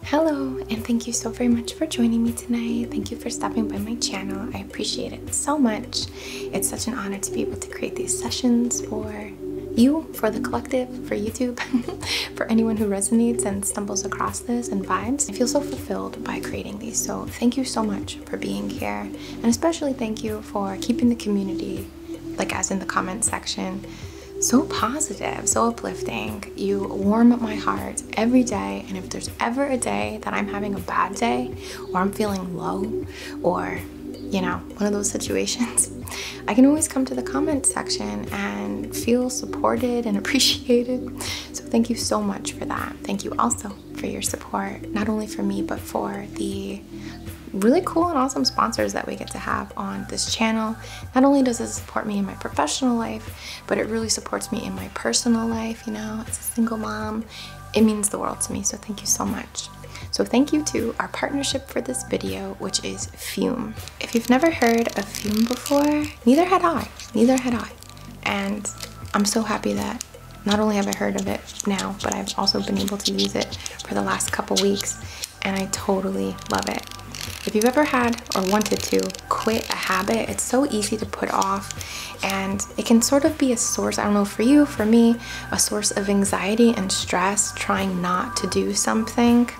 Hello, and thank you so very much for joining me tonight. Thank you for stopping by my channel. I appreciate it so much. It's such an honor to be able to create these sessions for you, for the collective, for YouTube, for anyone who resonates and stumbles across this and vibes. I feel so fulfilled by creating these, so thank you so much for being here. And especially thank you for keeping the community, like as in the comments section, so positive, so uplifting. You warm up my heart every day. And if there's ever a day that I'm having a bad day or I'm feeling low or, you know, one of those situations, I can always come to the comment section and feel supported and appreciated. So thank you so much for that. Thank you also for your support, not only for me, but for the really cool and awesome sponsors that we get to have on this channel. Not only does it support me in my professional life, but it really supports me in my personal life, you know, as a single mom. It means the world to me, so thank you so much. So thank you to our partnership for this video, which is Fume. If you've never heard of Fume before, neither had I, neither had I. And I'm so happy that not only have I heard of it now, but I've also been able to use it for the last couple weeks and I totally love it. If you've ever had or wanted to quit a habit, it's so easy to put off and it can sort of be a source, I don't know, for you, for me, a source of anxiety and stress trying not to do something,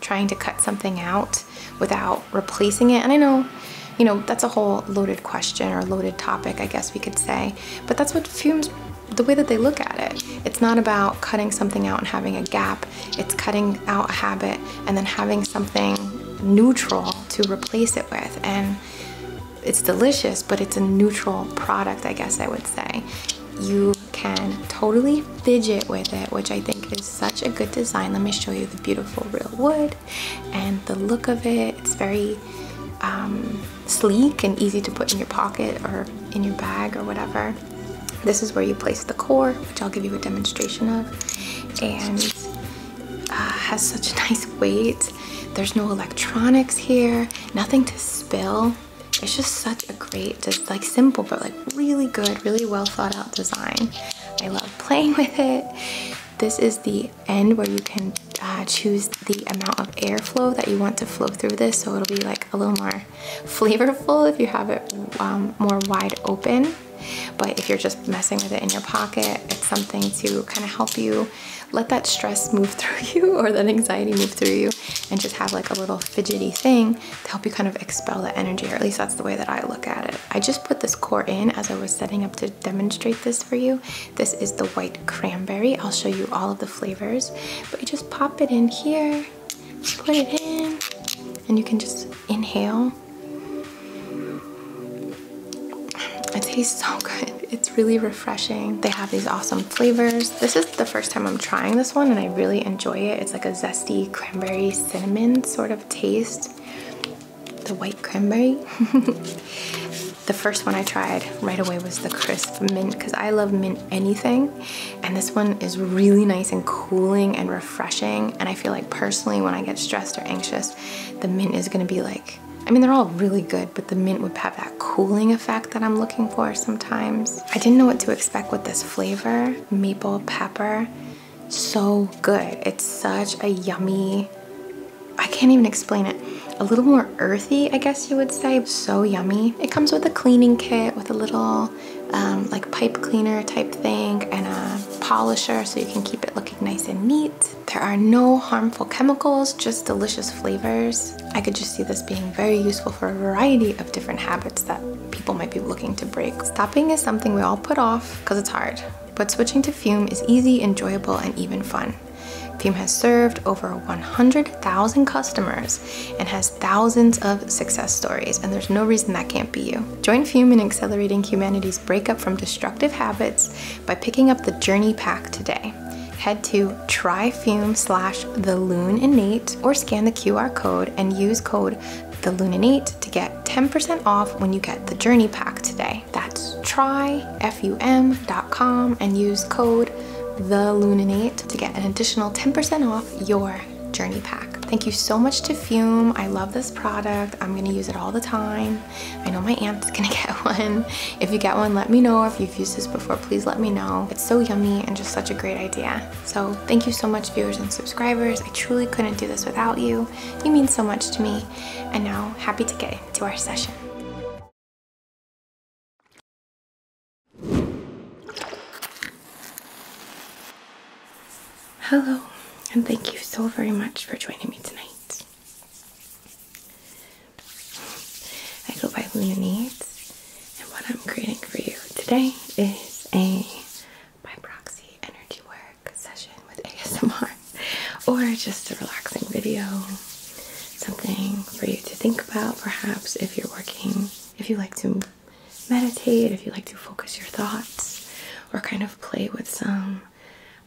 trying to cut something out without replacing it. And I know you know, that's a whole loaded question or loaded topic, I guess we could say. But that's what fumes, the way that they look at it. It's not about cutting something out and having a gap it's cutting out a habit and then having something neutral to replace it with. And it's delicious, but it's a neutral product, I guess I would say. You can totally fidget with it, which I think is such a good design. Let me show you the beautiful real wood and the look of it. It's very um, sleek and easy to put in your pocket or in your bag or whatever. This is where you place the core, which I'll give you a demonstration of. And uh, has such a nice weight. There's no electronics here, nothing to spill. It's just such a great, just like simple, but like really good, really well thought out design. I love playing with it. This is the end where you can uh, choose the amount of airflow that you want to flow through this. So it'll be like a little more flavorful if you have it um, more wide open. But if you're just messing with it in your pocket, it's something to kind of help you let that stress move through you or that anxiety move through you and just have like a little fidgety thing to help you kind of expel that energy, or at least that's the way that I look at it. I just put this core in as I was setting up to demonstrate this for you. This is the white cranberry. I'll show you all of the flavors, but you just pop it in here put it in, and you can just inhale. It tastes so good. It's really refreshing. They have these awesome flavors. This is the first time I'm trying this one and I really enjoy it. It's like a zesty cranberry cinnamon sort of taste. The white cranberry. the first one I tried right away was the crisp mint because I love mint anything. And this one is really nice and cooling and refreshing refreshing. And I feel like personally, when I get stressed or anxious, the mint is gonna be like, I mean, they're all really good, but the mint would have that cooling effect that I'm looking for sometimes. I didn't know what to expect with this flavor, maple pepper. So good. It's such a yummy, I can't even explain it a little more earthy, I guess you would say. So yummy. It comes with a cleaning kit with a little um, like pipe cleaner type thing and a polisher so you can keep it looking nice and neat. There are no harmful chemicals, just delicious flavors. I could just see this being very useful for a variety of different habits that people might be looking to break. Stopping is something we all put off because it's hard, but switching to Fume is easy, enjoyable, and even fun. Fume has served over 100,000 customers and has thousands of success stories, and there's no reason that can't be you. Join Fume in accelerating humanity's breakup from destructive habits by picking up the Journey Pack today. Head to tryfume slash theluninate or scan the QR code and use code theluninate to get 10% off when you get the Journey Pack today. That's tryfum.com and use code theluninate to get an additional 10% off your journey pack. Thank you so much to Fume. I love this product. I'm gonna use it all the time. I know my aunt's gonna get one. If you get one, let me know. If you've used this before, please let me know. It's so yummy and just such a great idea. So thank you so much viewers and subscribers. I truly couldn't do this without you. You mean so much to me. And now, happy to get to our session. Hello, and thank you so very much for joining me tonight. I go by Luna Needs, and what I'm creating for you today is a by proxy energy work session with ASMR, or just a relaxing video, something for you to think about perhaps if you're working, if you like to meditate, if you like to focus your thoughts, or kind of play with some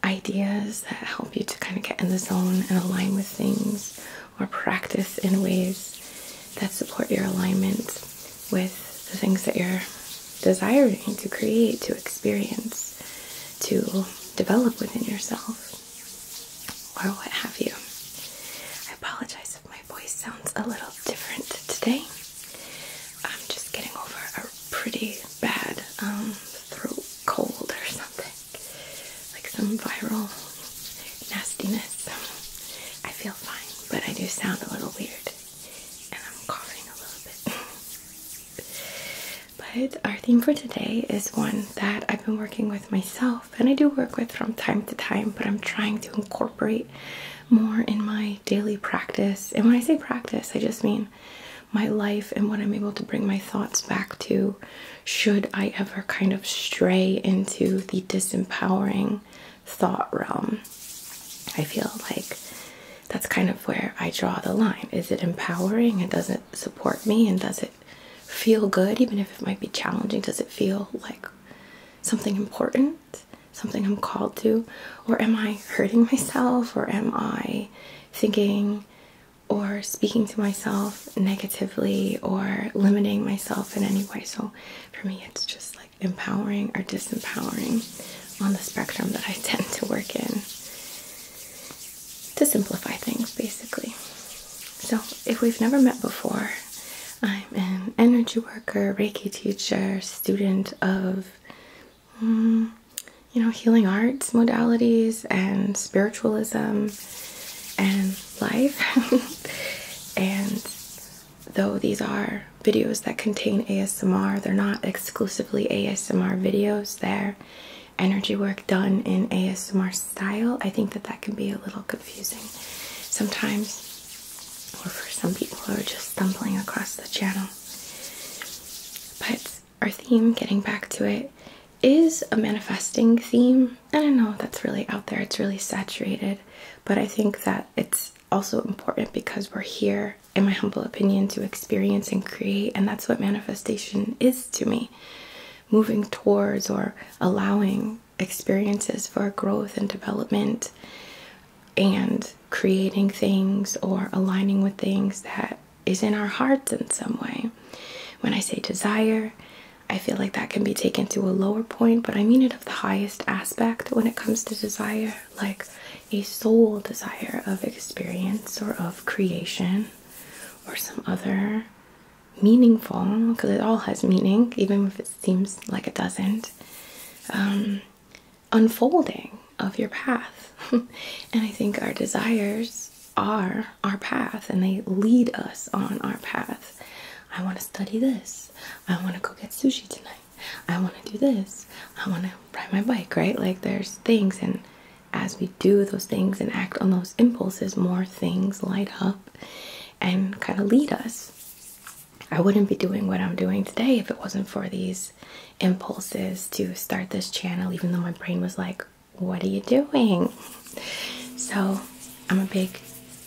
ideas that help you to kind of get in the zone and align with things, or practice in ways that support your alignment with the things that you're desiring to create, to experience, to develop within yourself, or what have you. I apologize my voice sounds a little different today. I'm just getting over a pretty bad um, throat cold or something. Like some viral nastiness. I feel fine, but I do sound a little weird. And I'm coughing a little bit. but our theme for today is one that I've been working with myself and I do work with from time to time, but I'm trying to incorporate more in my daily practice. And when I say practice, I just mean my life and what I'm able to bring my thoughts back to should I ever kind of stray into the disempowering thought realm. I feel like that's kind of where I draw the line. Is it empowering and does not support me and does it feel good even if it might be challenging? Does it feel like something important? something I'm called to, or am I hurting myself, or am I thinking or speaking to myself negatively or limiting myself in any way? So for me, it's just like empowering or disempowering on the spectrum that I tend to work in to simplify things basically. So, if we've never met before, I'm an energy worker, Reiki teacher, student of mm, you know healing arts modalities and spiritualism and life. and though these are videos that contain ASMR, they're not exclusively ASMR videos. They're energy work done in ASMR style. I think that that can be a little confusing sometimes or for some people who are just stumbling across the channel. But our theme, getting back to it, is a manifesting theme. And I know that's really out there, it's really saturated, but I think that it's also important because we're here, in my humble opinion, to experience and create, and that's what manifestation is to me. Moving towards or allowing experiences for growth and development and creating things or aligning with things that is in our hearts in some way. When I say desire, I feel like that can be taken to a lower point, but I mean it of the highest aspect when it comes to desire, like a soul desire of experience or of creation or some other meaningful, because it all has meaning, even if it seems like it doesn't. Um, unfolding of your path. and I think our desires are our path and they lead us on our path. I want to study this. I want to go get sushi tonight. I want to do this. I want to ride my bike, right? Like there's things, and as we do those things and act on those impulses, more things light up and kind of lead us. I wouldn't be doing what I'm doing today if it wasn't for these impulses to start this channel, even though my brain was like, What are you doing? So, I'm a big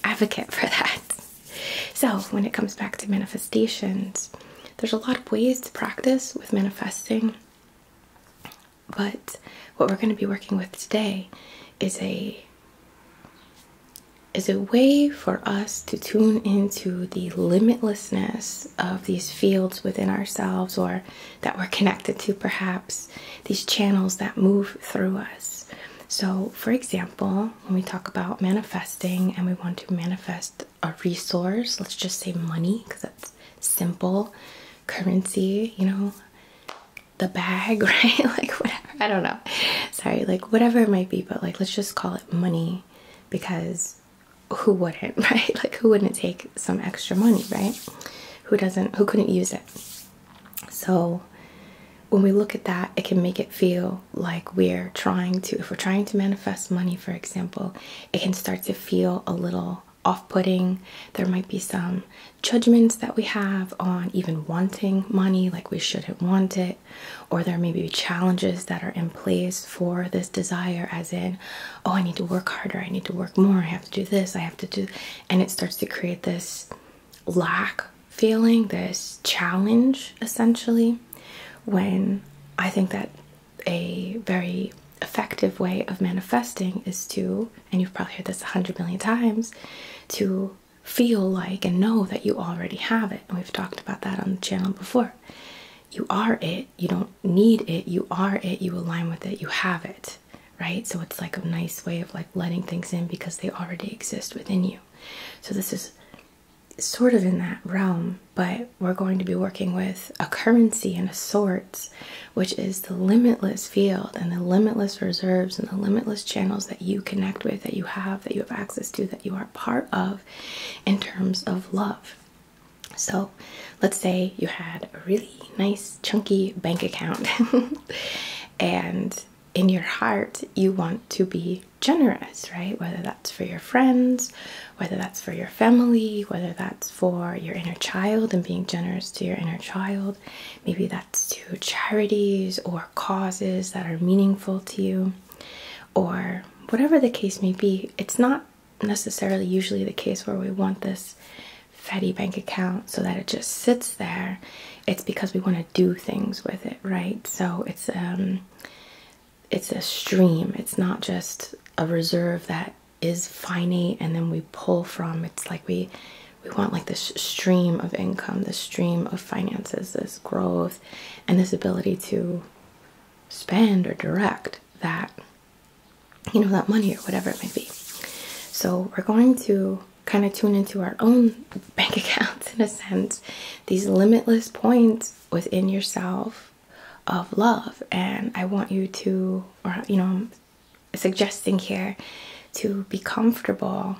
advocate for that. So, when it comes back to manifestations, there's a lot of ways to practice with manifesting, but what we're going to be working with today is a is a way for us to tune into the limitlessness of these fields within ourselves or that we're connected to, perhaps these channels that move through us. So, for example, when we talk about manifesting and we want to manifest a resource, let's just say money because that's simple currency, you know, the bag, right? like, whatever, I don't know sorry like whatever it might be but like let's just call it money because who wouldn't right like who wouldn't take some extra money right who doesn't who couldn't use it so when we look at that it can make it feel like we're trying to if we're trying to manifest money for example it can start to feel a little off-putting there might be some judgments that we have on even wanting money like we shouldn't want it or there may be challenges that are in place for this desire, as in, oh, I need to work harder, I need to work more, I have to do this, I have to do, and it starts to create this lack feeling, this challenge essentially. When I think that a very effective way of manifesting is to, and you've probably heard this a hundred million times, to feel like and know that you already have it. And we've talked about that on the channel before. You are it. You don't need it. You are it. You align with it. You have it. Right? So it's like a nice way of like letting things in because they already exist within you. So this is sort of in that realm, but we're going to be working with a currency and a source, which is the limitless field and the limitless reserves and the limitless channels that you connect with, that you have, that you have access to, that you are part of in terms of love. So, let's say you had a really nice, chunky bank account, and in your heart, you want to be generous, right? Whether that's for your friends, whether that's for your family, whether that's for your inner child and being generous to your inner child, maybe that's to charities or causes that are meaningful to you or whatever the case may be. It's not necessarily usually the case where we want this fatty bank account so that it just sits there. It's because we want to do things with it, right? So it's a um, it's a stream. It's not just a reserve that is finite and then we pull from. It's like we we want like this stream of income, this stream of finances, this growth, and this ability to spend or direct that you know that money or whatever it may be so we're going to kind of tune into our own bank accounts in a sense these limitless points within yourself of love and i want you to or you know suggesting here to be comfortable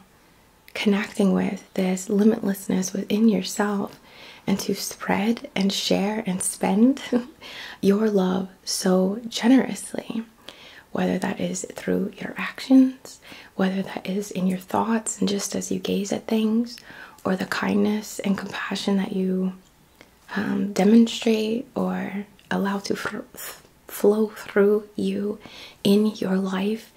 connecting with this limitlessness within yourself and to spread and share and spend your love so generously. Whether that is through your actions, whether that is in your thoughts and just as you gaze at things, or the kindness and compassion that you um, demonstrate or allow to flow through you in your life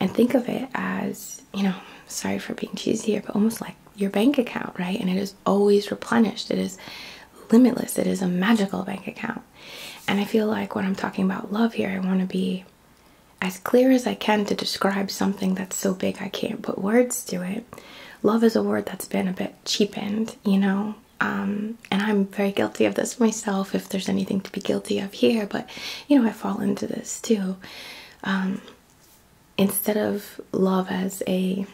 and think of it as you know sorry for being cheesy here but almost like your bank account right and it is always replenished it is limitless it is a magical bank account and i feel like when i'm talking about love here i want to be as clear as i can to describe something that's so big i can't put words to it love is a word that's been a bit cheapened you know um, and I'm very guilty of this myself, if there's anything to be guilty of here, but you know, I fall into this too. Um, instead of love as a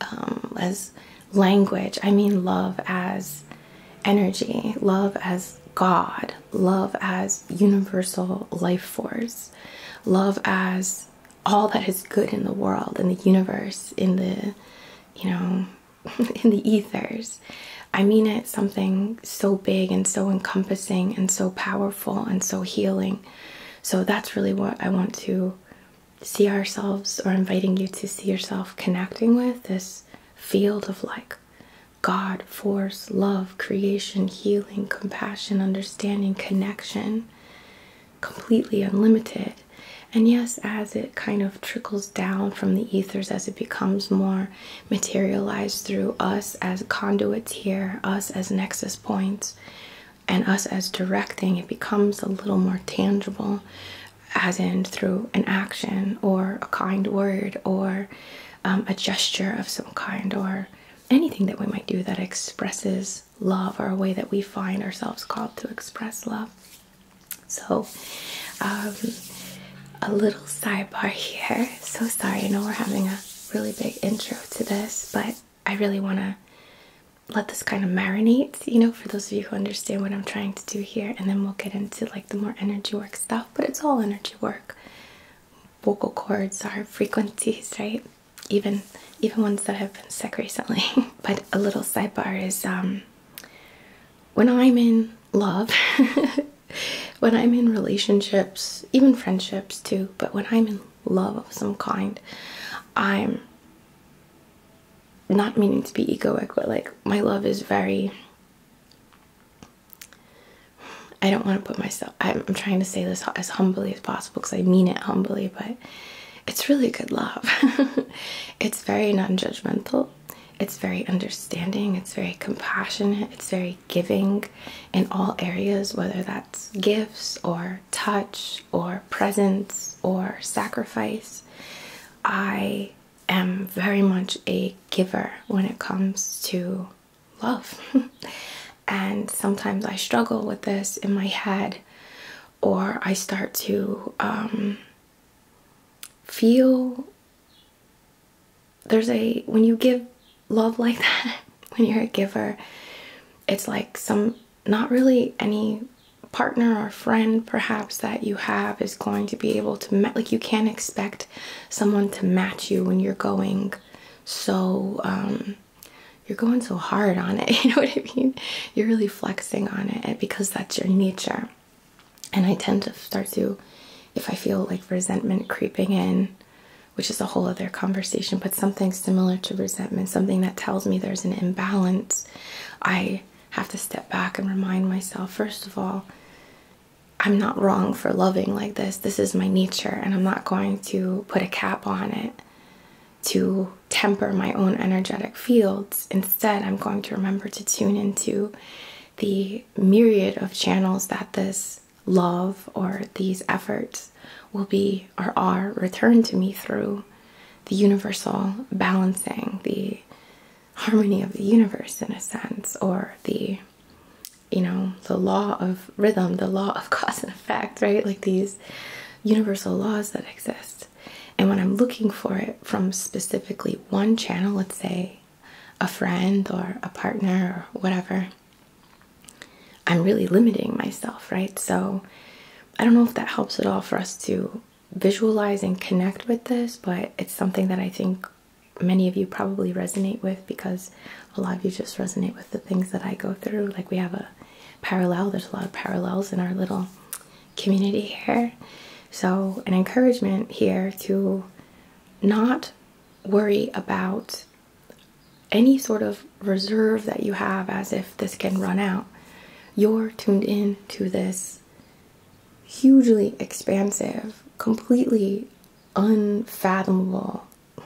um, as language i mean love as energy love as god love as universal life force love as all that is good in the world in the universe in the you know in the ethers I mean it, something so big and so encompassing and so powerful and so healing. So that's really what I want to see ourselves or inviting you to see yourself connecting with this field of like God, force, love, creation, healing, compassion, understanding, connection, completely unlimited. And yes, as it kind of trickles down from the ethers, as it becomes more materialize through us as conduits here, us as nexus points, and us as directing. It becomes a little more tangible, as in through an action or a kind word or um, a gesture of some kind or anything that we might do that expresses love or a way that we find ourselves called to express love. So, um, a little sidebar here. So sorry, I know we're having a really big intro to this, but I really want to let this kind of marinate, you know, for those of you who understand what I'm trying to do here, and then we'll get into like the more energy work stuff, but it's all energy work. Vocal cords are frequencies, right? Even even ones that have been sick recently. but a little sidebar is um when I'm in love, when I'm in relationships, even friendships too, but when I'm in love of some kind, I'm not meaning to be egoic, but like my love is very. I don't want to put myself, I'm, trying to say this as humbly as possible because I mean it humbly, but it's really good love. it's very non judgmental, it's very understanding, it's very compassionate, it's very giving in all areas, whether that's gifts or touch or presence or sacrifice. I am very much a giver when it comes to love. and sometimes I struggle with this in my head, or I start to um, feel there's a when you give love like that when you're a giver it's like some not really any partner or friend perhaps that you have is going to be able to like you can't expect someone to match you when you're going so um you're going so hard on it you know what i mean you're really flexing on it because that's your nature and I tend to start to, if I feel like resentment creeping in, which is a whole other conversation, but something similar to resentment, something that tells me there's an imbalance, I have to step back and remind myself first of all, I'm not wrong for loving like this. This is my nature, and I'm not going to put a cap on it to temper my own energetic fields. Instead, I'm going to remember to tune into the myriad of channels that this love or these efforts will be or are returned to me through the universal balancing, the harmony of the universe in a sense, or the you know, the law of rhythm, the law of cause and effect, right? Like these universal laws that exist. And when I'm looking for it from specifically one channel, let's say a friend or a partner or whatever, I'm really limiting myself, right? So I don't know if that helps at all for us to visualize and connect with this, but it's something that I think many of you probably resonate with because a lot of you just resonate with the things that I go through. Like we have a parallel, there's a lot of parallels in our little community here. So, an encouragement here to not worry about any sort of reserve that you have as if this can run out. You're tuned in to this hugely expansive, completely unfathomable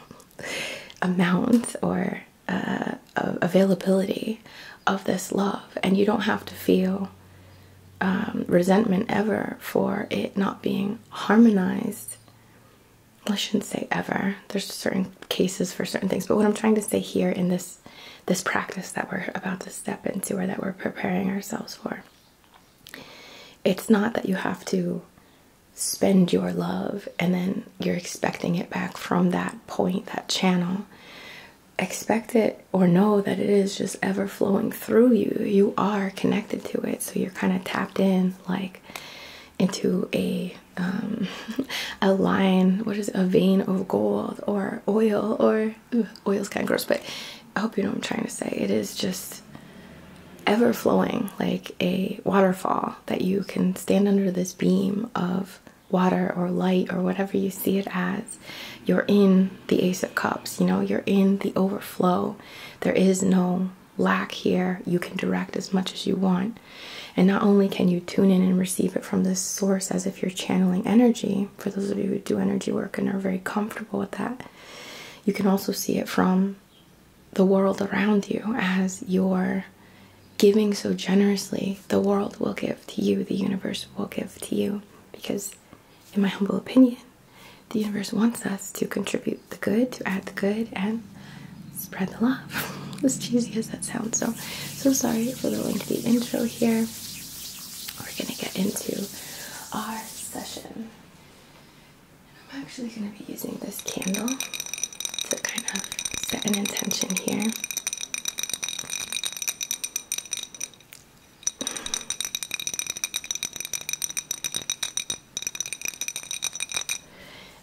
amount or uh, availability of this love, and you don't have to feel um, resentment ever for it not being harmonized. I shouldn't say ever. There's certain cases for certain things, but what I'm trying to say here in this this practice that we're about to step into or that we're preparing ourselves for. It's not that you have to spend your love and then you're expecting it back from that point, that channel. Expect it or know that it is just ever flowing through you. You are connected to it, so you're kind of tapped in, like into a um, a line. What is it, a vein of gold or oil? Or ugh, oil's kind of gross, but I hope you know what I'm trying to say. It is just ever flowing like a waterfall that you can stand under this beam of water or light or whatever you see it as. You're in the Ace of Cups, you know, you're in the overflow, there is no lack here. You can direct as much as you want. And not only can you tune in and receive it from this source as if you're channeling energy, for those of you who do energy work and are very comfortable with that, you can also see it from the world around you as you're giving so generously. The world will give to you, the universe will give to you because in my humble opinion, the universe wants us to contribute the good, to add the good, and spread the love. as cheesy as that sounds. So, so sorry for the lengthy intro here. We're gonna get into our session. I'm actually gonna be using this candle to kind of set an intention here.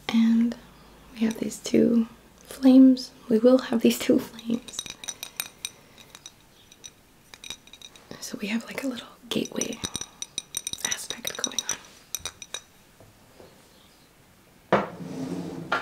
And we have these two flames. We will have these two flames. So we have like a little gateway aspect going on.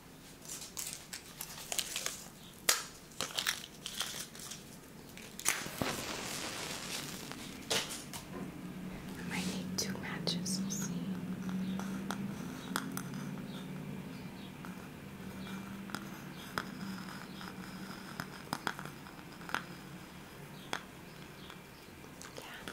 I might need two matches, we'll see. Yeah.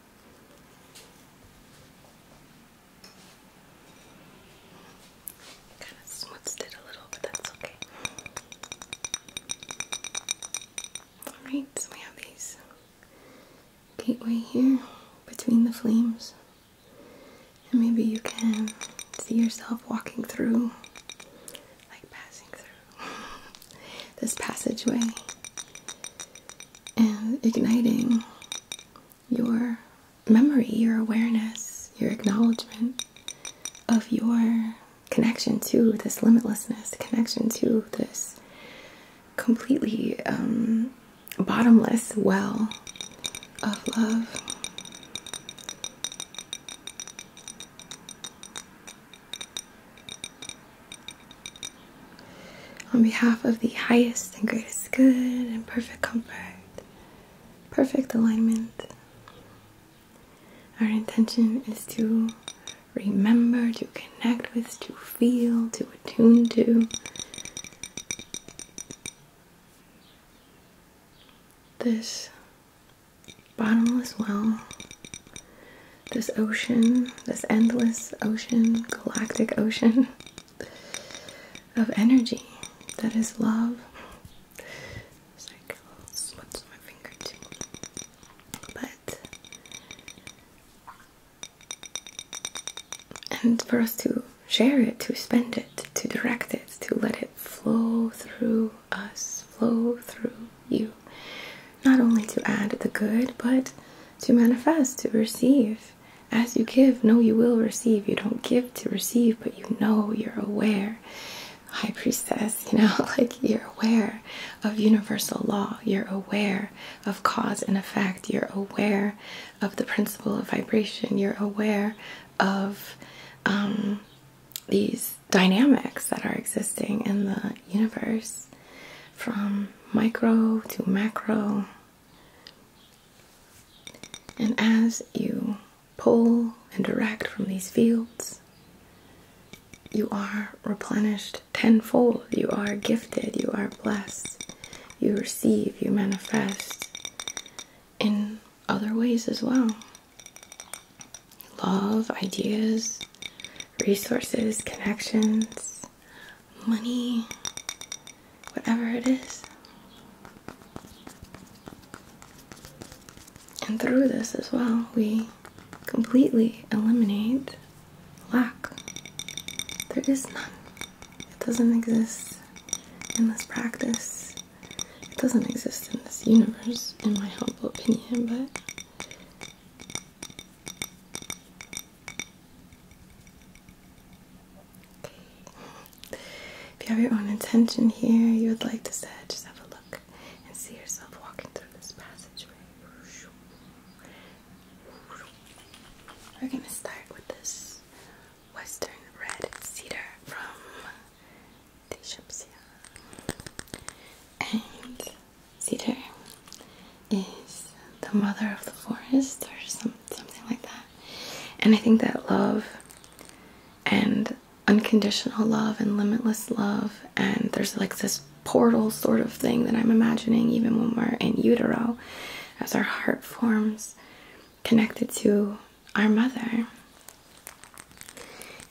Kind of smoothed it a little, but that's okay. Alright, so we have these gateway here between the flames. And maybe you can see yourself walking through, like passing through this passageway and igniting your memory, your awareness, your acknowledgement of your connection to this limitlessness, connection to this completely um, bottomless well of love. On behalf of the highest and greatest good and perfect comfort, perfect alignment, our intention is to remember, to connect with, to feel, to attune to this bottomless well this ocean, this endless ocean, galactic ocean of energy that is love. Oh, but and for us to share it, to spend it, to direct it, to let it flow through us, flow through you. Not only to add the good, but to manifest, to receive. As you give, know you will receive. You don't give to receive, but you know you're aware. High priestess, you know, like you're aware of universal law, you're aware of cause and effect, you're aware of the principle of vibration, you're aware of um, these dynamics that are existing in the universe from micro to macro. And as you pull and direct from these fields, you are replenished tenfold. You are gifted. You are blessed. You receive. You manifest in other ways as well. Love, ideas, resources, connections, money, whatever it is. And through this as well, we completely eliminate lack. There is none, it doesn't exist in this practice. It doesn't exist in this universe, in my humble opinion, but if you have your own intention here, you would like to say, just have a look and see yourself walking through this passageway. We're going to start with this western red cedar from Tishapsia. And cedar is the mother of the forest or something like that. And I think that love and unconditional love and limitless love, and there's like this portal sort of thing that I'm imagining even when we're in utero as our heart forms connected to our mother.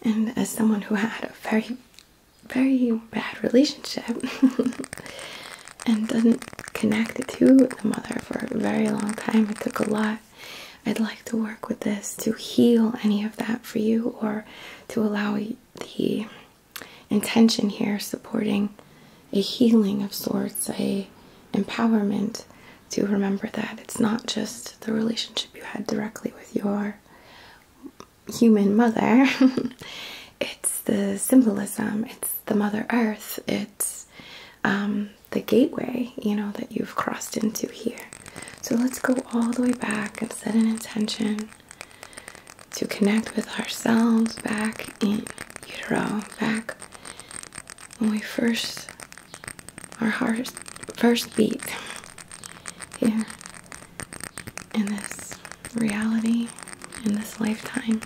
And as someone who had a very very bad relationship and doesn't connect to the mother for a very long time. It took a lot. I'd like to work with this to heal any of that for you or to allow the intention here supporting a healing of sorts, a empowerment to remember that it's not just the relationship you had directly with your human mother. it's the symbolism, it's the Mother Earth, it's um, the gateway, you know, that you've crossed into here. So let's go all the way back and set an intention to connect with ourselves back in utero, back when we first, our heart first beat here in this reality in this lifetime.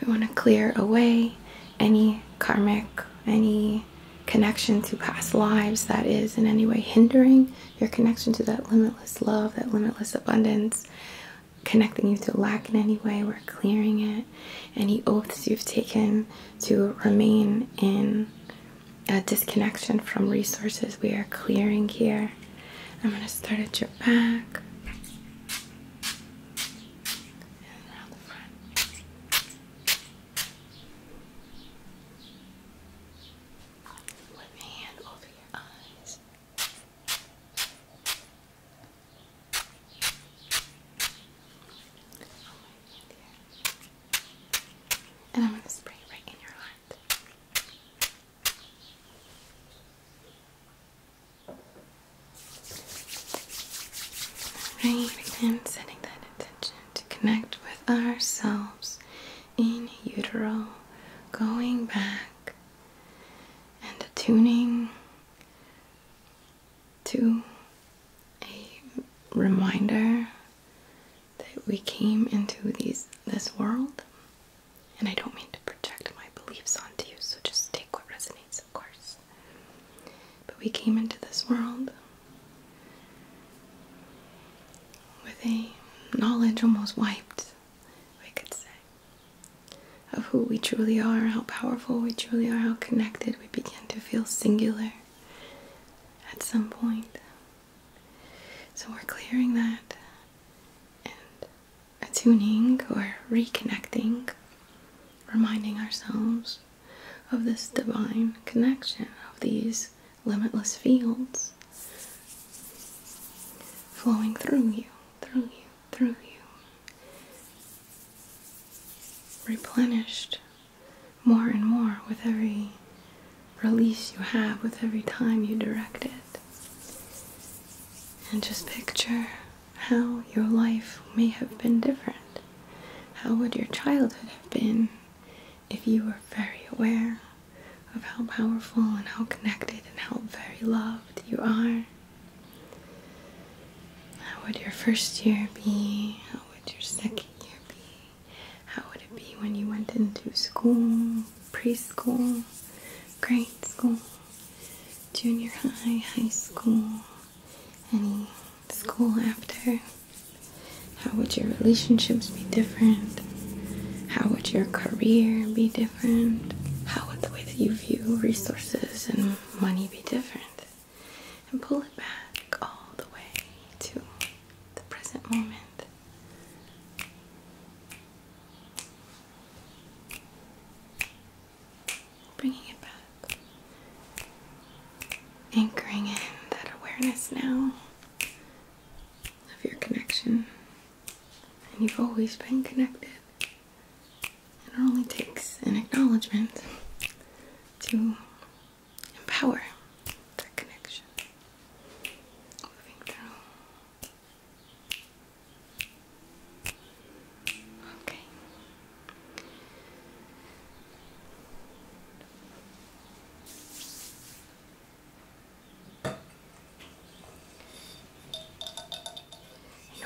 We want to clear away any karmic, any connection to past lives that is in any way hindering your connection to that limitless love, that limitless abundance, connecting you to lack in any way. We're clearing it. Any oaths you've taken to remain in a disconnection from resources we are clearing here. I'm going to start at your back. And I'm going to spray right in your eye. Right, again, setting that intention to connect with ourselves in utero, going back and tuning to a reminder that we came into these this world, and I don't mean to project my beliefs onto you, so just take what resonates, of course. But we came into this world with a knowledge almost wiped, we could say, of who we truly are, how powerful we truly are, how connected we begin to feel singular at some point. So we're clearing that and attuning or reconnecting, reminding ourselves of this divine connection of these limitless fields flowing through you, through you, through you. Replenished more and more with every release you have with every time you direct it. And just picture how your life may have been different. How would your childhood have been if you were very aware of how powerful and how connected and how very loved you are? How would your first year be? How would your second year be? How would it be when you went into school, preschool, grade school, junior high, high school, any school after? How would your relationships be different? How would your career be different? How would the way that you view resources and money be different? And pull it back all the way to the present moment. Bringing it back, anchoring in that awareness now of your connection. And you've always been connected. And it only takes an acknowledgement to and power. That connection. Okay.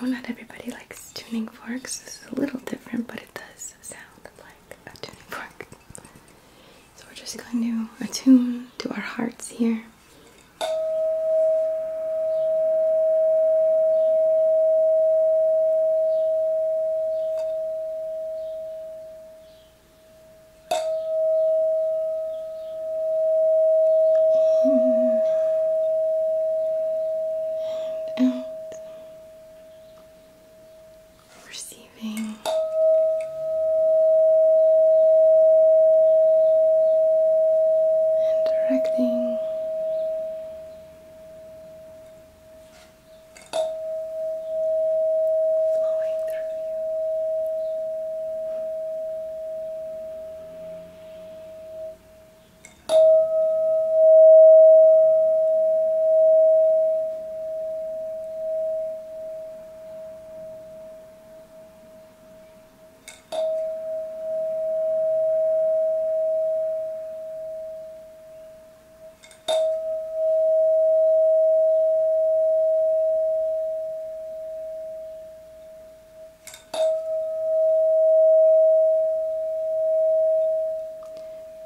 You not everybody likes tuning forks. This is a little different, but it does sound like a tuning fork. So we're just going to attune to our hearts here. In and out receiving and directing. Flowing through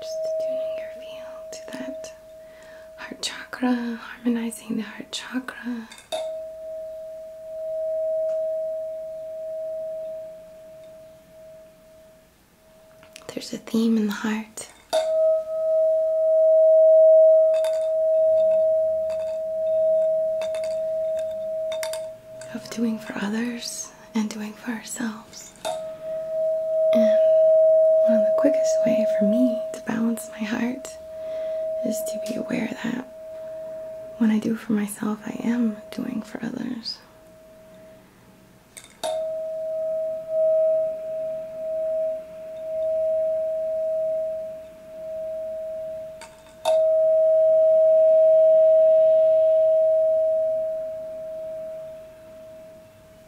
just tuning your feel to that heart chakra, harmonizing the heart chakra. There's a theme in the heart. Of doing for others and doing for ourselves. And one of the quickest way for me to balance my heart is to be aware that when I do for myself, I am doing for others.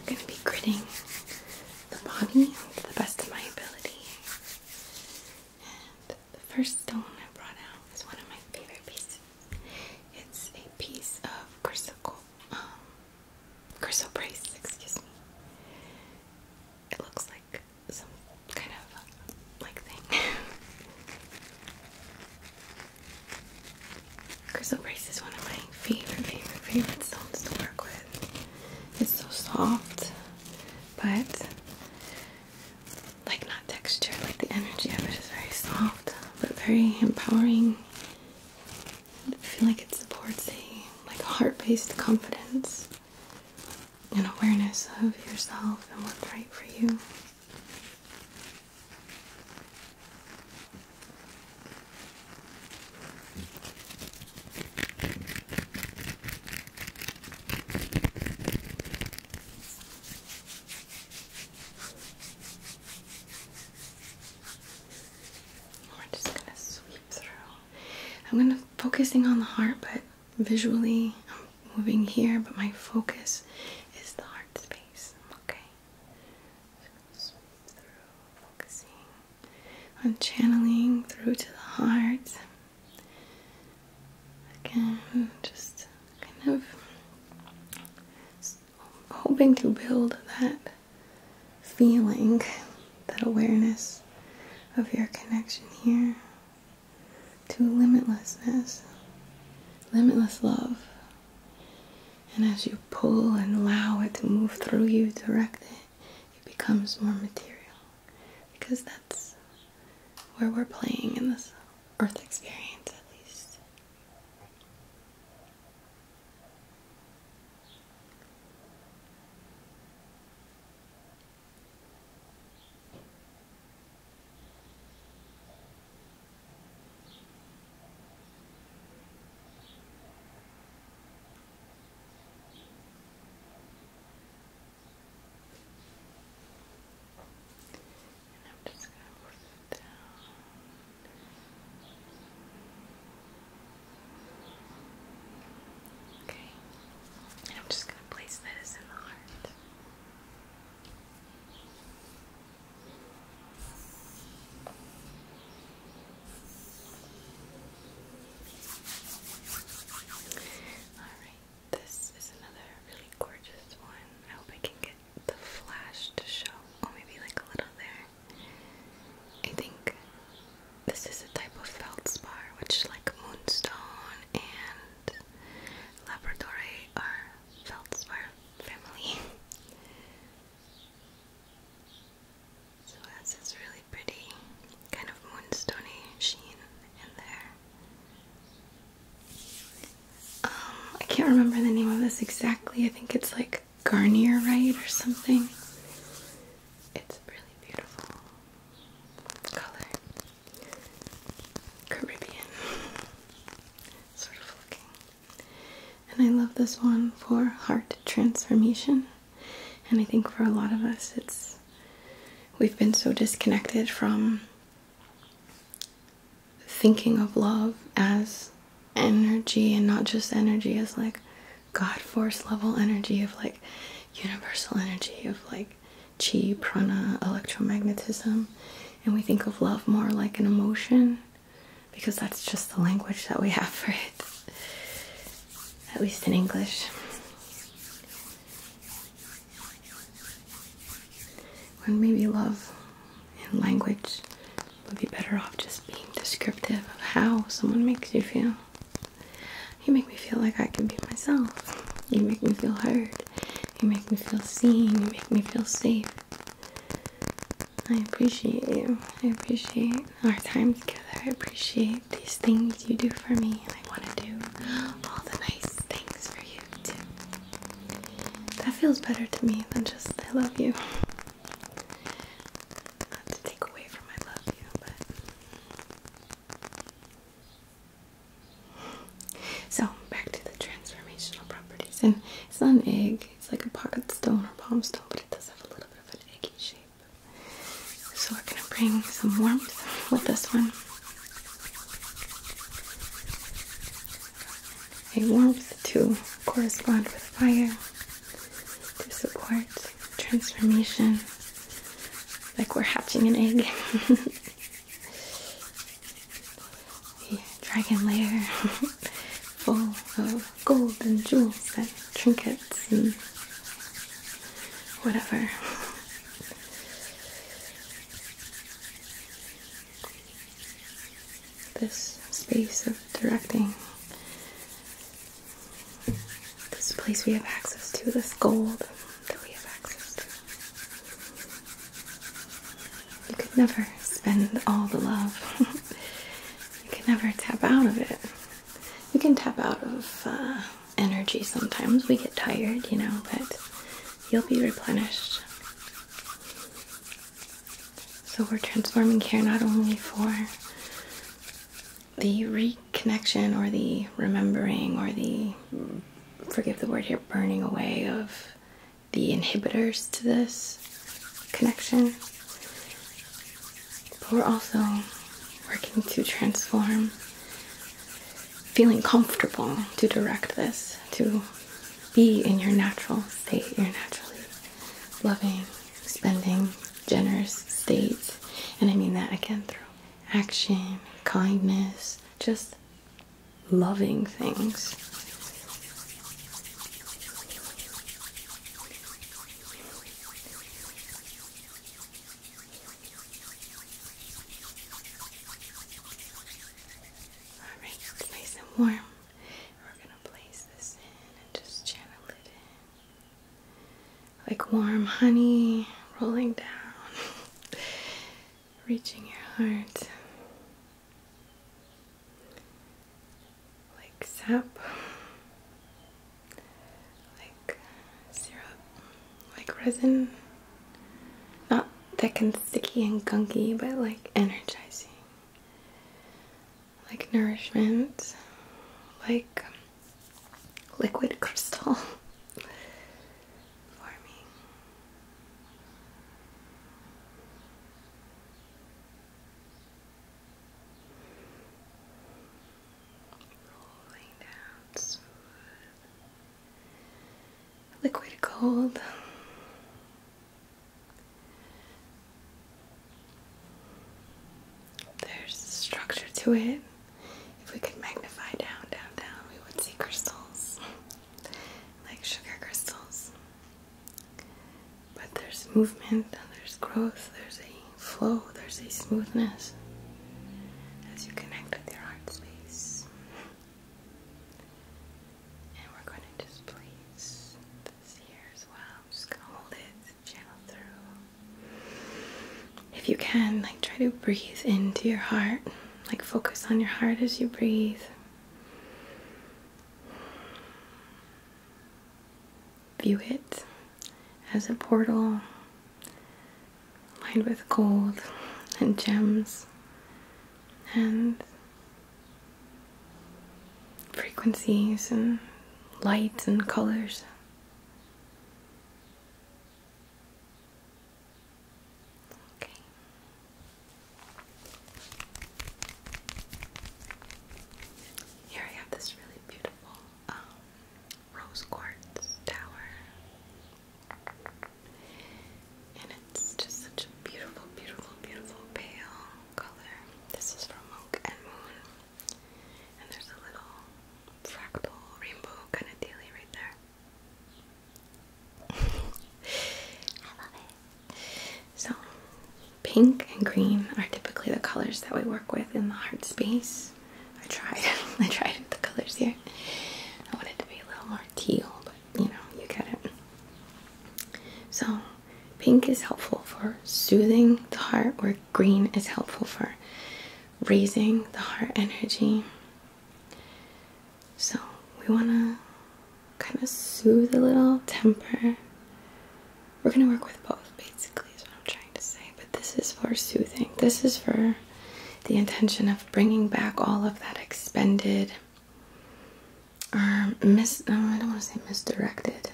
I'm going to be gritting the body to the best of my ability. And the first stone I brought out is one of my favorite pieces. It's a piece of chrysocoll, um, chrysoprase, excuse me. It looks like some kind of like thing. Crystal Brace is one of my favorite, favorite, favorite stones to work with. It's so soft, but like not texture, like the energy of it is very soft, but very empowering. I feel like it supports a like heart-based confidence and awareness of yourself and what's right for you. We're just gonna sweep through. I'm gonna focusing on the heart, but visually I'm moving here, but my focus is the heart space. Okay. I'm channeling through to the heart. Again, just kind of hoping to build that feeling, that awareness of your connection here to limitlessness, limitless love, and as you pull and allow it to move through you, direct it, it becomes more material. Because that's where we're playing in this earth experience, at least. And I'm just going to move it down. Okay. And I'm just going to place this in the heart. Alright, this is another really gorgeous one. I hope I can get the flash to show. Oh, maybe like a little there. I think this is a type of feldspar, which like moonstone and labradorite are feldspar family. so that's this really pretty kind of moonstony sheen in there. Um, I can't remember the name of this exactly. I think it's like Garnier Right or something. It's really beautiful color. Caribbean sort of looking. And I love this one for heart transformation. And I think for a lot of us, it's we've been so disconnected from thinking of love as energy and not just energy as like God force level energy of like universal energy of like chi, prana, electromagnetism. And we think of love more like an emotion because that's just the language that we have for it, at least in English. And maybe love and language would be better off just being descriptive of how someone makes you feel. You make me feel like I can be myself. You make me feel heard. You make me feel seen. You make me feel safe. I appreciate you. I appreciate our time together. I appreciate these things you do for me. And I want to do all the nice things for you, too. That feels better to me than just I love you. Not to take away from I love you, but. So, back to the transformational properties. And it's an egg, it's like a pocket stone or palm stone, but it does have a little bit of an egg shape. So we're gonna bring some warmth with this one. A warmth to correspond with fire, to support transformation, like we're hatching an egg. a dragon lair full of gold and jewels and trinkets and whatever. This space of directing, this place we have access to, this gold that we have access to. You can never spend all the love. you can never tap out of it. You can tap out of uh, energy sometimes. We get tired, you know, but you'll be replenished. So we're transforming care not only for the reconnection or the remembering or the forgive the word here burning away of the inhibitors to this connection. But we're also working to transform feeling comfortable to direct this, to be in your natural state, your naturally loving, spending, generous state. And I mean that again through action, kindness, just loving things. All right, it's nice and warm. We're gonna place this in and just channel it in, like warm honey rolling down. reaching your heart like sap, like syrup, like resin. Not thick and sticky and gunky, but like energizing, like nourishment, like liquid crystal Rolling down smooth. Liquid gold. There's structure to it. If we could magnify down, down, down, we would see crystals like sugar crystals. But there's movement and there's growth, there's a flow, there's a smoothness as you connect with your heart space. And we're going to just place this here as well. just going to hold it, channel through. If you can, like try to breathe into your heart, like focus on your heart as you breathe. View it as a portal lined with gold and gems and frequencies and lights and colors. Okay. Here I have this really beautiful um, rose quartz tower, and it's just such a beautiful, beautiful, beautiful pale color. This is from Monk and Moon, and there's a little fractal rainbow kind of dealy right there. I love it. So, pink and green are typically the colors that we work with in the heart space. I tried, I tried the colors here. I wanted to be a little more teal, but you know, you get it. So, pink is helpful for soothing the heart, where green is helpful for raising the heart energy. So we want to kind of soothe a little temper. We're going to work with both, basically, is what I'm trying to say. But this is for soothing. This is for the intention of bringing back all of that expended, or um, mis I don't want to say misdirected.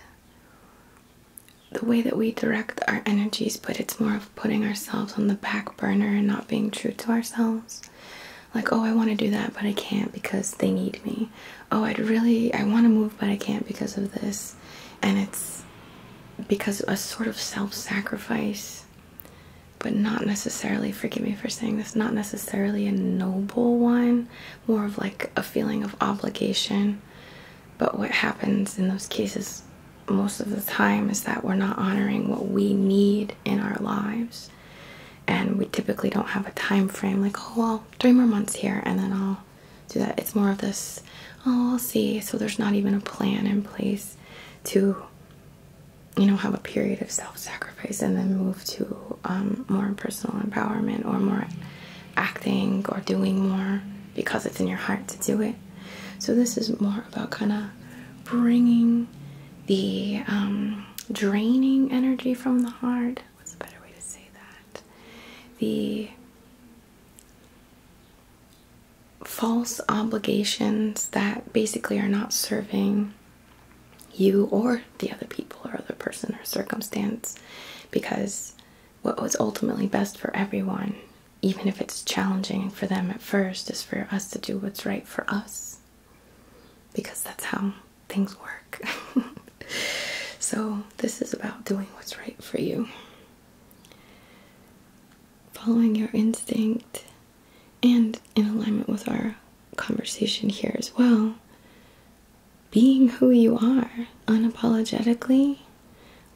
The way that we direct our energies, but it's more of putting ourselves on the back burner and not being true to ourselves like oh i want to do that but i can't because they need me oh i'd really i want to move but i can't because of this and it's because a sort of self-sacrifice but not necessarily forgive me for saying this not necessarily a noble one more of like a feeling of obligation but what happens in those cases most of the time is that we're not honoring what we need in our lives and we typically don't have a time frame like oh well three more months here and then i'll do that it's more of this oh i'll see so there's not even a plan in place to you know have a period of self-sacrifice and then move to um, more personal empowerment or more acting or doing more because it's in your heart to do it so this is more about kind of bringing the um, draining energy from the heart. What's a better way to say that? The false obligations that basically are not serving you or the other people or other person or circumstance because what was ultimately best for everyone even if it's challenging for them at first is for us to do what's right for us because that's how things work. so, this is about doing what's right for you, following your instinct, and in alignment with our conversation here as well, being who you are unapologetically,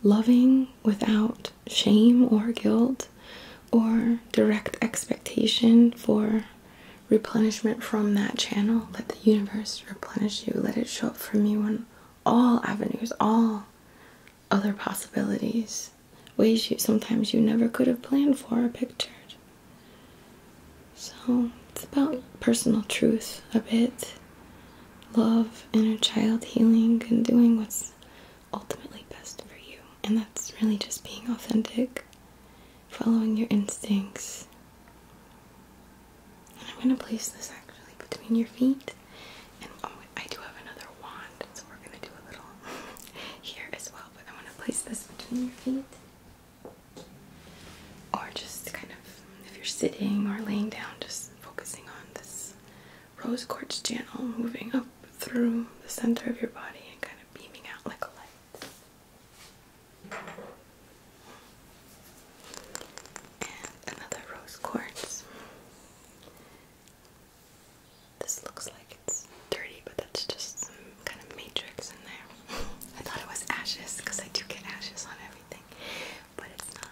loving without shame or guilt or direct expectation for replenishment from that channel. Let the universe replenish you. Let it show up for you on all avenues, all other possibilities, ways you sometimes you never could have planned for or pictured. So it's about personal truth a bit, love, inner child healing, and doing what's ultimately best for you. And that's really just being authentic following your instincts. And I'm going to place this actually between your feet. And oh, I do have another wand, so we're going to do a little here as well. But I'm going to place this between your feet. Or just kind of, if you're sitting or laying down, just focusing on this rose quartz channel moving up through the center of your body and kind of beaming out like a light. And another rose quartz. This looks like it's dirty, but that's just some kind of matrix in there. I thought it was ashes because I do get ashes on everything, but it's not.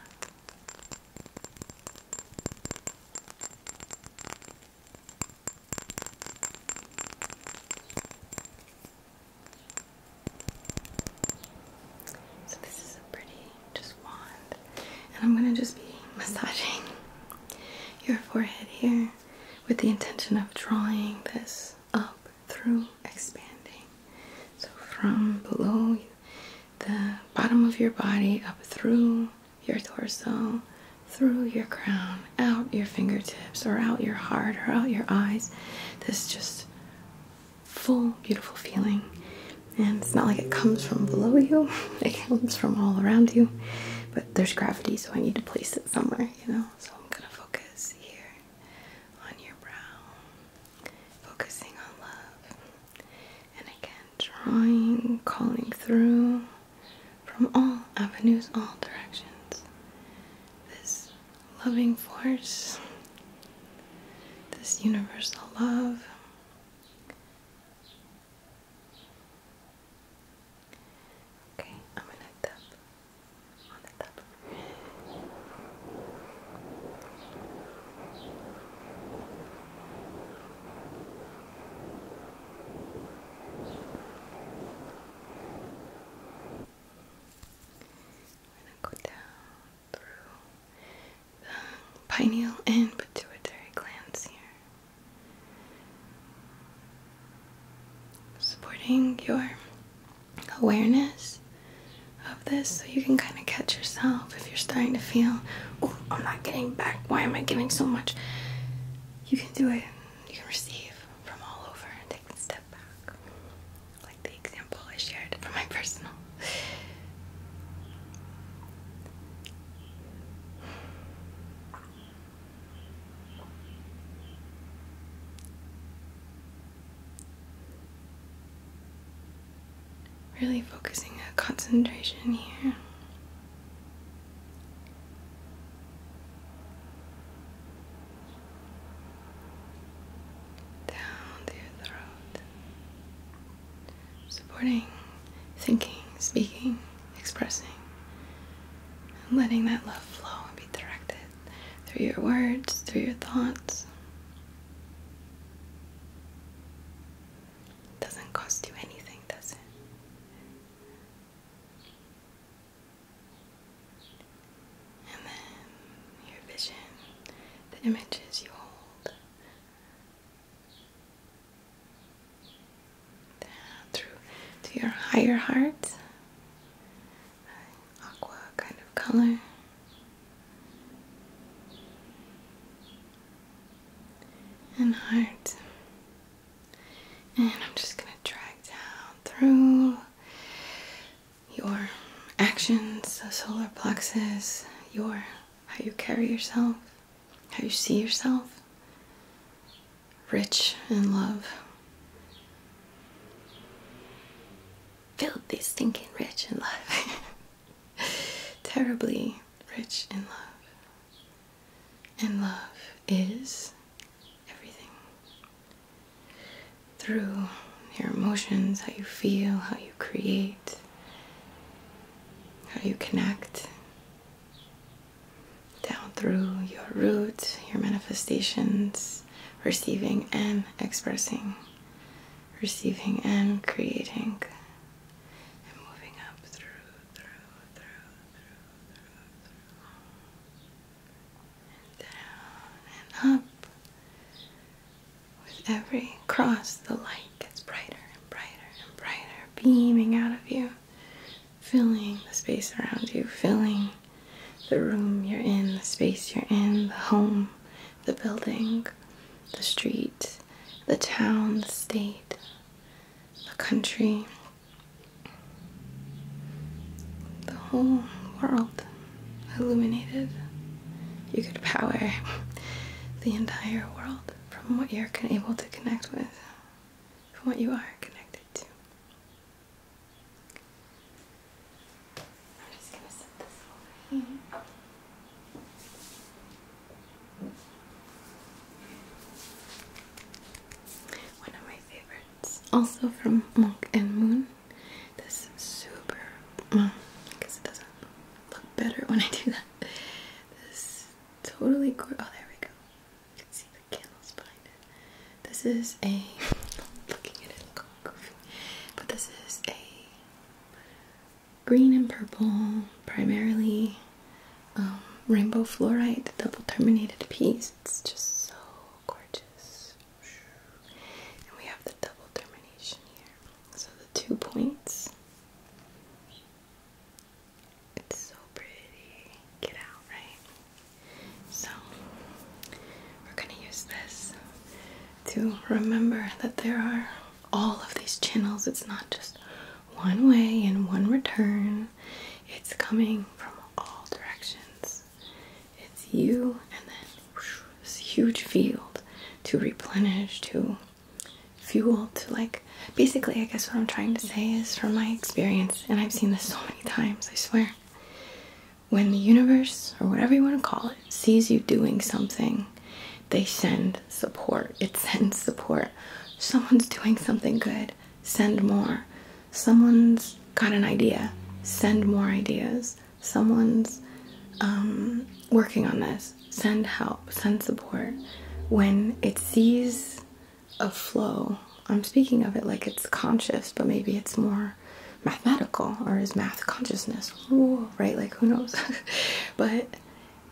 So this is a pretty just wand. And I'm going to just be massaging your forehead here with the intention of drawing this up through expanding. So from below the bottom of your body up through your torso, through your crown, out your fingertips, or out your heart, or out your eyes. This just full, beautiful feeling. And it's not like it comes from below you, it comes from all around you. But there's gravity, so I need to place it somewhere, you know? So I'm gonna focus here on your brow, focusing on love. And again, drawing, calling through from all avenues, all directions. This loving force, this universal love. Okay, I'm gonna tap on I'm gonna go down through the pineal and pituitary glands here. Supporting your awareness of this so you can kind of catch yourself if you're starting to feel, oh, I'm not getting back. Why am I giving so much? You can do it, you can receive from all over and take a step back, like the example I shared from my personal. Really focusing a concentration here down the throat, supporting thinking, speaking, expressing, and letting that love flow and be directed through your words, through your thoughts. Doesn't cost you anything, does it? And then your vision, the images you hold, down through to your higher heart, aqua kind of color. And heart and I'm just going to drag down through your actions, the solar plexus, your how you carry yourself, how you see yourself, rich in love. filled Filthy, stinking rich in love. Terribly rich in love. And love is everything through your emotions, how you feel, how you create, how you connect, down through your roots, your manifestations, receiving and expressing, receiving and creating. And moving up through down and up. With every cross, the light gets brighter and brighter and brighter, beaming out of you, filling the space around you, filling the room you're in, the space you're in, the home, the building, the street, the town, the state, the country, the whole world illuminated. You could power the entire world from what you're able to connect with, from what you are connected to. I'm just gonna set this over here. One of my favorite also from Monk and Moon. This is super. I guess it doesn't look better when I do that. This is totally gorgeous. Oh, there we go. You can see the candles behind it. This is a. looking at it, look But this is a green and purple, primarily um, rainbow fluorite double terminated piece. It's just so gorgeous. And we have the double termination here. So the two points. It's so pretty. Get out, right? So we're gonna use this to remember that there are all of these channels. It's not just one way and one return. It's coming from all directions. It's you, and then this huge field to replenish, to fuel, to like. Basically, I guess what I'm trying to say is from my experience, and I've seen this so many times, I swear. When the universe, or whatever you want to call it, sees you doing something, they send support. It sends support. Someone's doing something good send more. Someone's got an idea, send more ideas. Someone's um, working on this, send help, send support. When it sees a flow, I'm speaking of it like it's conscious, but maybe it's more mathematical or is math consciousness, Ooh, right? Like who knows? but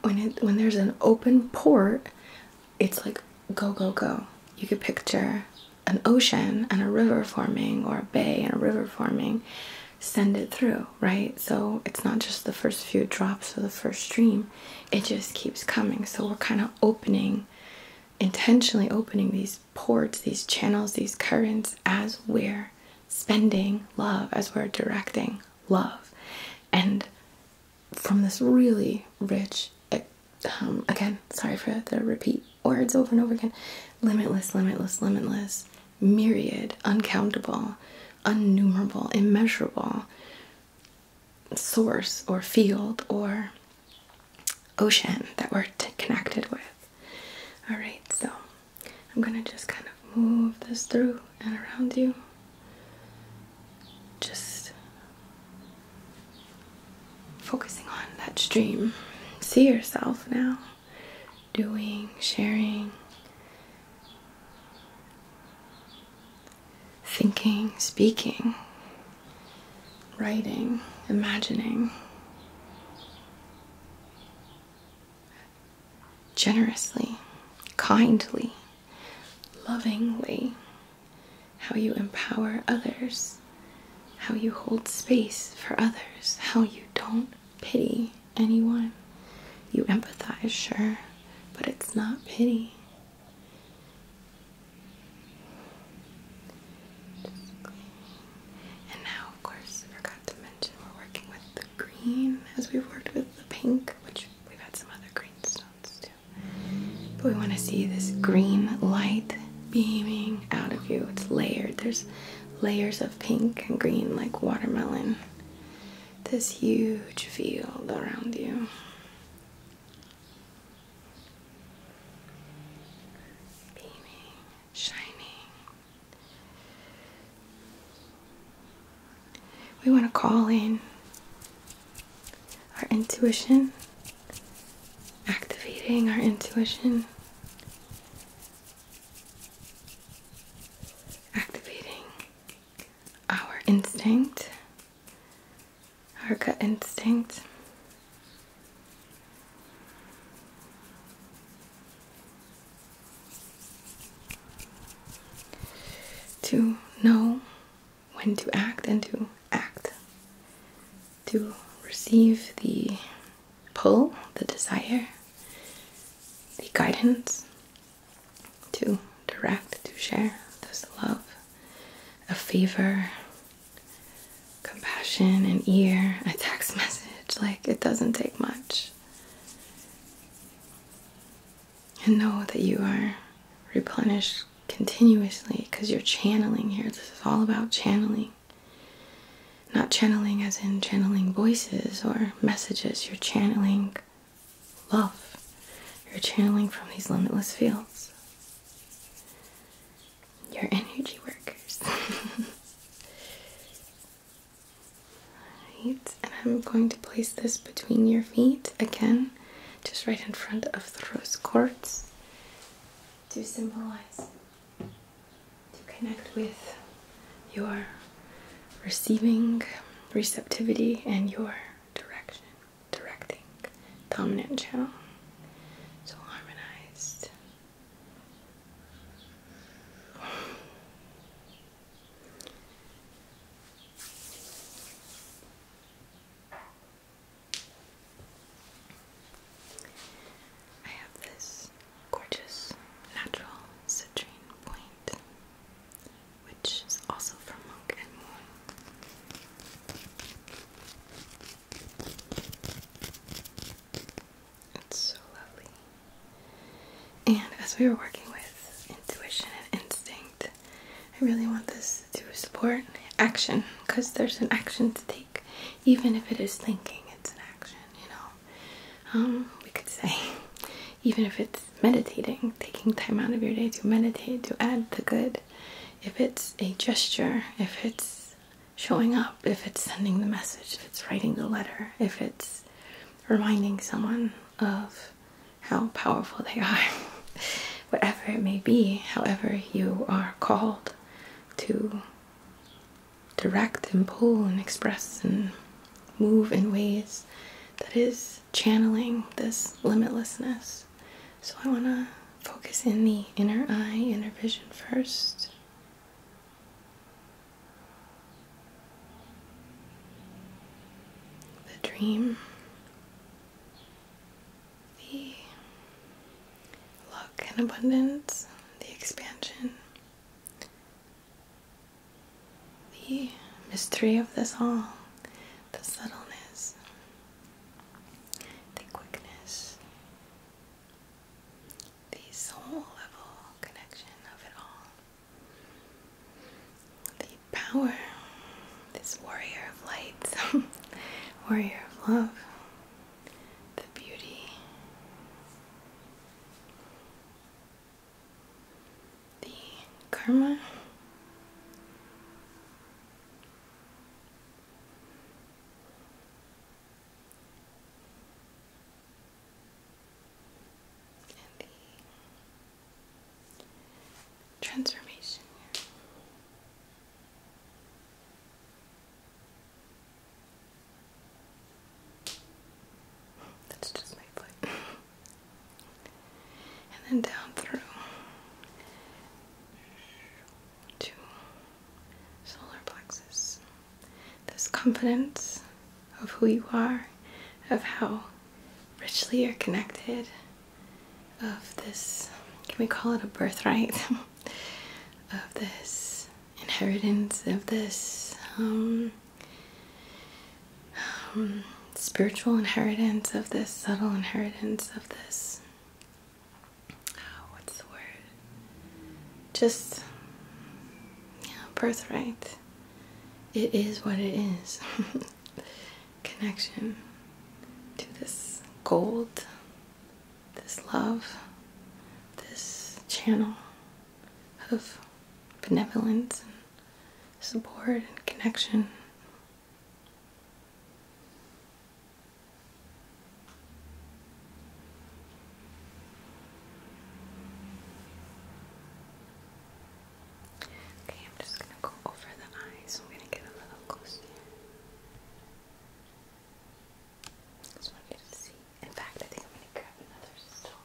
when it when there's an open port, it's like go, go, go. You could picture an ocean and a river forming, or a bay and a river forming. Send it through, right? So it's not just the first few drops of the first stream, it just keeps coming. So we're kind of opening, intentionally opening these ports, these channels, these currents as we're spending love, as we're directing love. And from this really rich, um, again, sorry for the repeat words over and over again, limitless, limitless, limitless, myriad, uncountable, unnumerable, immeasurable source or field or ocean that we're connected with. All right, so I'm going to just kind of move this through and around you just focusing on that stream. See yourself now doing, sharing, thinking, speaking, writing, imagining. Generously, kindly, lovingly, how you empower others, how you hold space for others, how you don't pity anyone. You empathize, sure, but it's not pity. And now, of course, forgot to mention we're working with the green as we've worked with the pink, which we've had some other green stones too. But we want to see this green light beaming out of you. It's layered. There's layers of pink and green like watermelon. This huge field around you. Beaming, shining. We want to call in our intuition, activating our intuition, activating our instinct, our gut instinct. To know when to act and to act, to receive the pull, the desire, the guidance, to direct, to share this love, a favor, compassion, an ear, a text message. Like it doesn't take much. And know that you are replenished continuously because you're channeling here. This is all about channeling. Not channeling as in channeling voices or messages, you're channeling love. You're channeling from these limitless fields. You're energy workers. right, and I'm going to place this between your feet again, just right in front of the rose quartz to symbolize, to connect with your receiving, receptivity, and your direction, directing, dominant channel. So harmonized. I have this gorgeous natural citrine point, which is also from Monk and Moon. It's so lovely. And as we were working with intuition and instinct, I really want this to support action because there's an action to take, even if it is thinking, it's an action, you know. Um, we could say, even if it's meditating, taking time out of your day to meditate, to add the good, if it's a gesture, if it's showing up, if it's sending the message, if it's writing the letter, if it's reminding someone of how powerful they are. whatever it may be, however you are called to direct and pull and express and move in ways that is channeling this limitlessness. So I want to focus in the inner eye, inner vision first. The dream the luck and abundance, the expansion, the mystery of this all, the subtleness, the quickness, the soul level connection of it all, the power this warrior of lights, warrior of love, the beauty, the karma. And the transformation. That's just my foot. and then down through to solar plexus. This confidence of who you are, of how richly you're connected of this can we call it a birthright? of this inheritance, of this um, um, spiritual inheritance, of this subtle inheritance, of this. Oh, what's the word? Just birthright. It is what it is. connection to this gold, this love, this channel of benevolence and support and connection. Okay, I'm just going to go over the eyes. I'm going to get a little close it's not good to see. In fact, I think I'm going to grab another stall.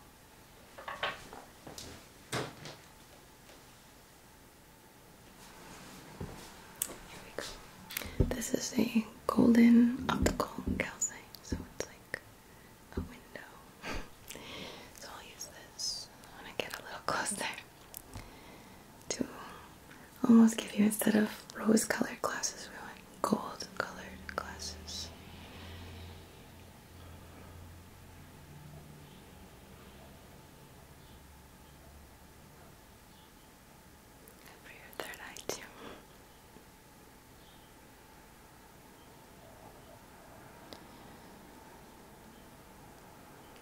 Here we go. This is a golden optical calcite, so it's like a window. so I'll use this when I get a little closer to almost give you instead of rose colored glasses, we want gold colored glasses. For your third eye,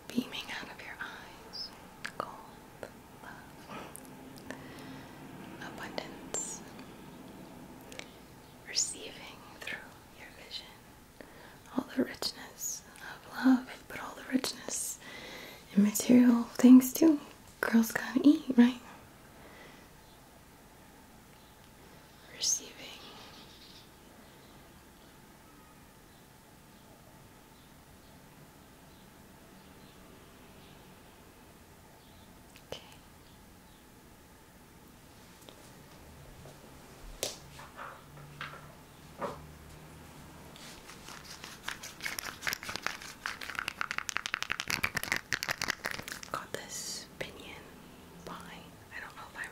beaming out of your eyes, gold, love, abundance, receiving through your vision all the richness of love, but all the richness and material things too. Girls gotta eat, right? Receiving Okay. Got this pinion I don't know if I'm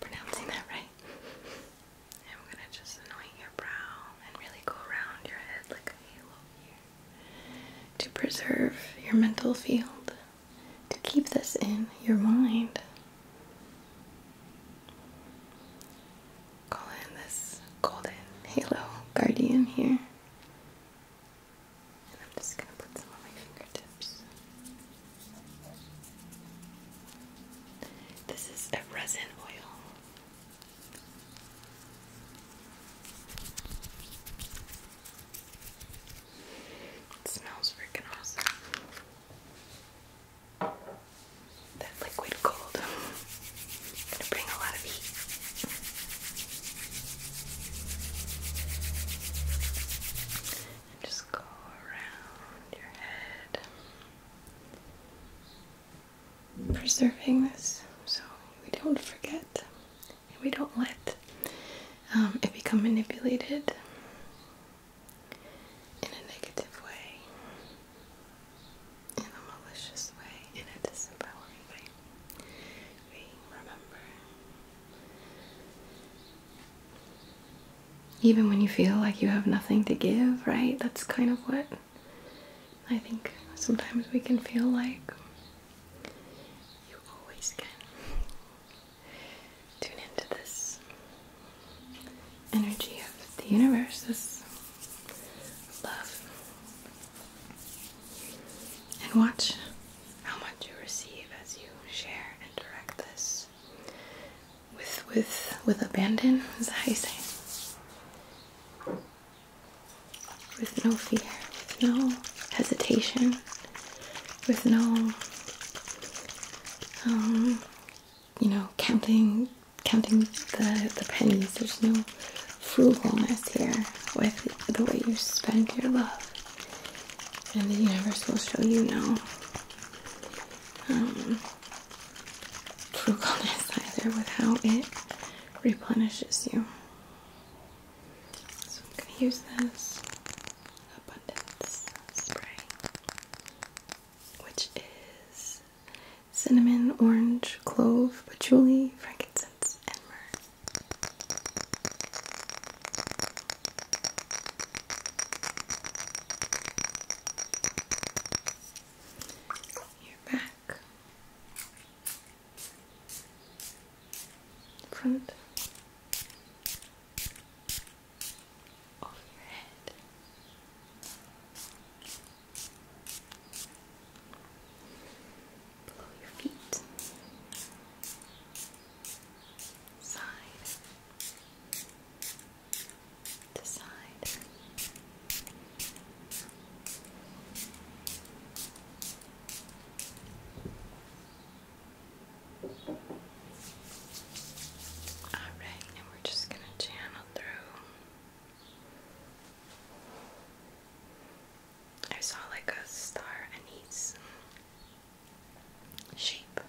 pronouncing that right. I'm gonna just anoint your brow and really go around your head like a halo here to preserve your mental field, to keep this in your mind. Call in this golden halo guardian here. And I'm just gonna put some on my fingertips. This is a resin oil. smells freaking awesome. That liquid gold. gonna bring a lot of heat. just go around your head preserving this so we don't forget and we don't let um, it become manipulated in a negative way, in a malicious way, in a disempowering way. We remember even when you feel like you have nothing to give, right? That's kind of what I think sometimes we can feel like. You always can. Tune into this energy of the universe, this love, and watch how much you receive as you share and direct this with with with abandon. Is that how you say? With no fear, with no hesitation, with no um, you know counting counting the the pennies. There's no frugality here with the way you spend your love. And the universe will show you now. Um, frugalness either with how it replenishes you. So I'm going to use this abundance spray, which is cinnamon, orange, clove, patchouli, frankincense, and myrrh your back, front of your head. Below your feet, side, decide. Alright, and we're just going to channel through. I saw like a star anise shape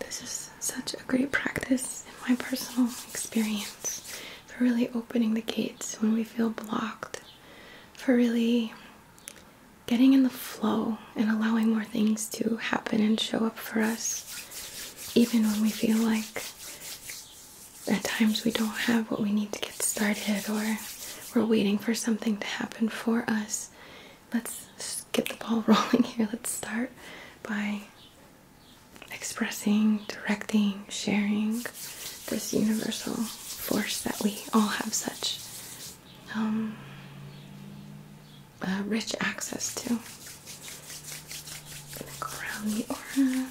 this is such a great practice in my personal experience for really opening the gates when we feel blocked, for really getting in the flow and allowing more things to happen and show up for us, even when we feel like at times we don't have what we need to get started or we're waiting for something to happen for us. Let's get the ball rolling here. Let's start by expressing, directing, sharing this universal force that we all have such um, rich access to. gonna go around the aura.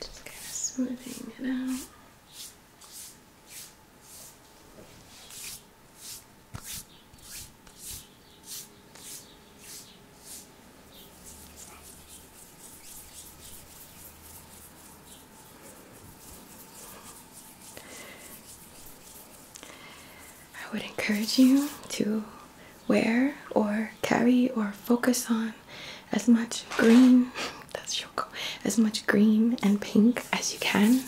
Just kind of smoothing it out. I would encourage you to wear or carry or focus on as much green that's as much green and pink as you can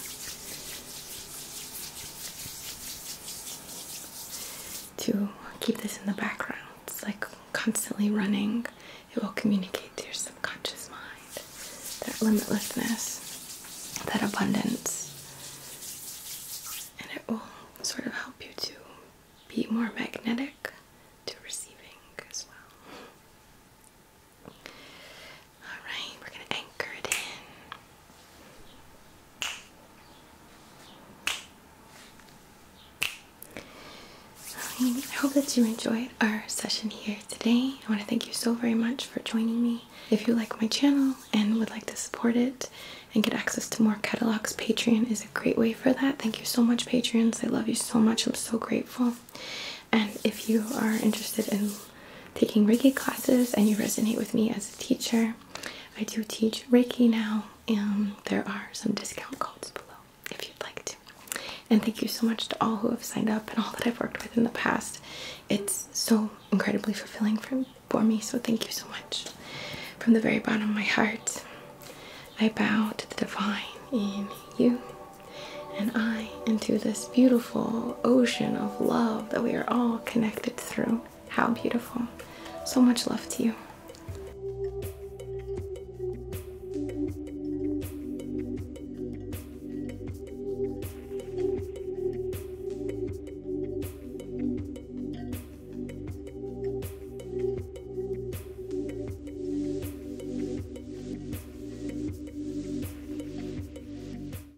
to keep this in the background. It's like constantly running. It will communicate to your subconscious mind that limitlessness, that abundance, and it will sort of help you to be more magnetic to receiving as well. Alright, we're going to anchor it in. I hope that you enjoyed our session here today. I want to thank you so very much for joining me. If you like my channel and would like to support it and get access to more catalogs, Patreon is a great way for that. Thank you so much, Patreons. I love you so much. I'm so grateful. And if you are interested in taking Reiki classes and you resonate with me as a teacher, I do teach Reiki now, and there are some discount codes below if you'd like to. And thank you so much to all who have signed up and all that I've worked with in the past. It's so incredibly fulfilling for, me, so thank you so much. From the very bottom of my heart, I bow to the divine in you and I into this beautiful ocean of love that we are all connected through. How beautiful. So much love to you.